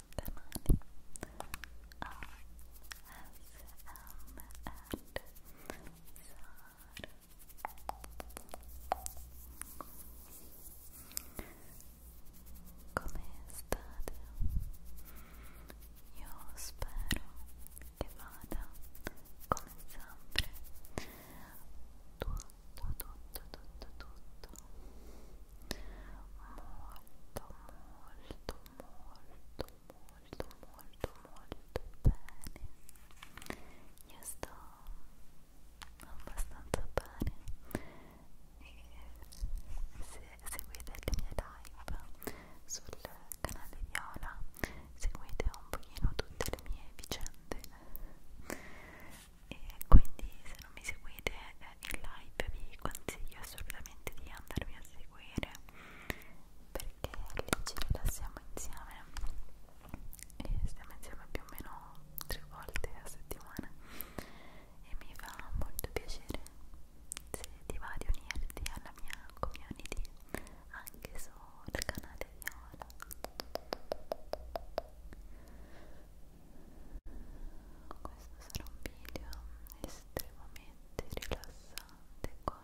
canale ASMR come state? Io spero che vada come sempre tutto, tutto, tutto, tutto molto, molto molto molto molto molto bene io sto abbastanza bene e se seguite le mie live sul canale Viola seguite un pochino tutte le mie vicende e quindi se non mi seguite in live vi consiglio assolutamente di andarvi a seguire perché lì ci rilassiamo insieme e stiamo insieme più o meno tre volte a settimana e mi fa molto piacere se ti va di unirti alla mia community anche sul canale di Ola quindi questo sarà un video estremamente rilassante con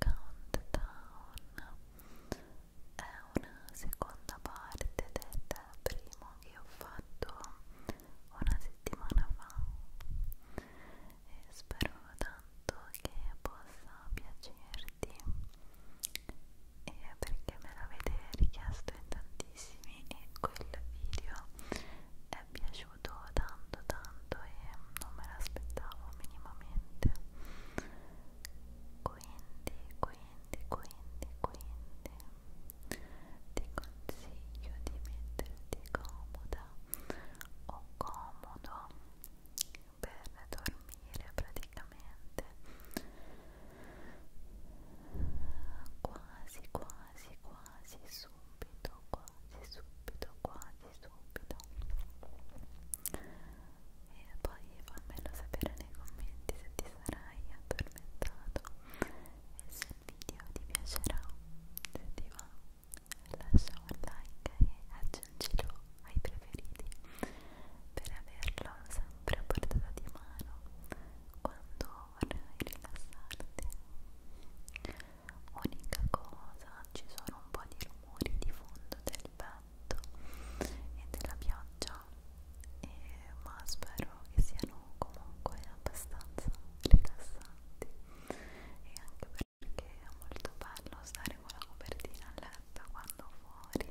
countdown è una seconda parte del primo che ho fatto una settimana fa e spero tanto che possa piacerti e perché me l'avete richiesto in tantissimi e quel video è piaciuto tanto tanto e non me l'aspettavo minimamente quindi quindi quindi quindi ti consiglio di metterti comoda o comodo per dormire praticamente quasi quasi quasi subito, quasi subito, quasi subito e poi fammelo sapere nei commenti se ti sarai addormentato e se il video ti piacerà se ti va lascia un like e aggiungilo ai preferiti per averlo sempre a portata di mano quando e rilassarti. Unica cosa, ci sono un po' di rumori di fondo del vento e della pioggia, e, ma spero che siano comunque abbastanza rilassanti e anche perché è molto bello stare con la copertina a letto quando fuori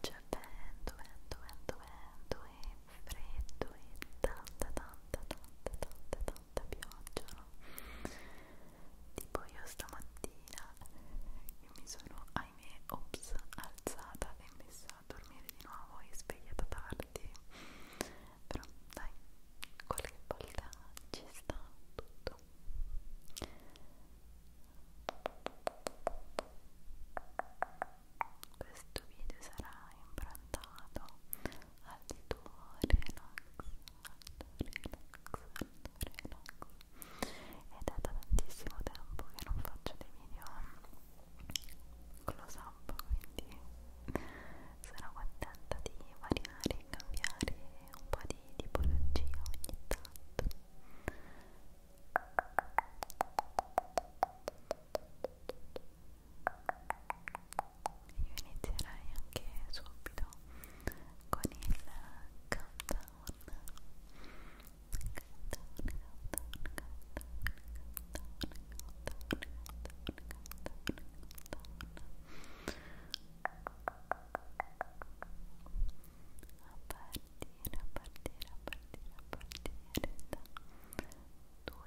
c'è vento, vento, vento, vento e freddo e tanta tanta tanta tanta tanta pioggia no? tipo io stamattina io mi sono ahimè ops alzata e messa a dormire di nuovo e svegliata tardi però dai qualche volta ci sta tutto Buonanotte questo video sarà improntato al tuo relax, relax, relax ed è da tantissimo tempo che non faccio dei video close up quindi sono contenta di variare e cambiare un po' di tipologia ogni tanto Spero io inizierei anche subito con il countdown. Countdown, countdown, countdown, countdown, countdown, a partire, a partire, a partire da 2,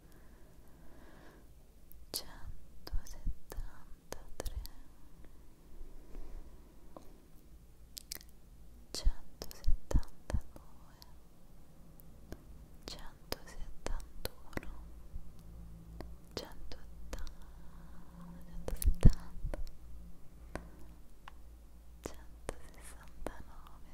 centosettantatré centosettantadue centosettantuno centottanta centosettanta centosessantanove centosessantanove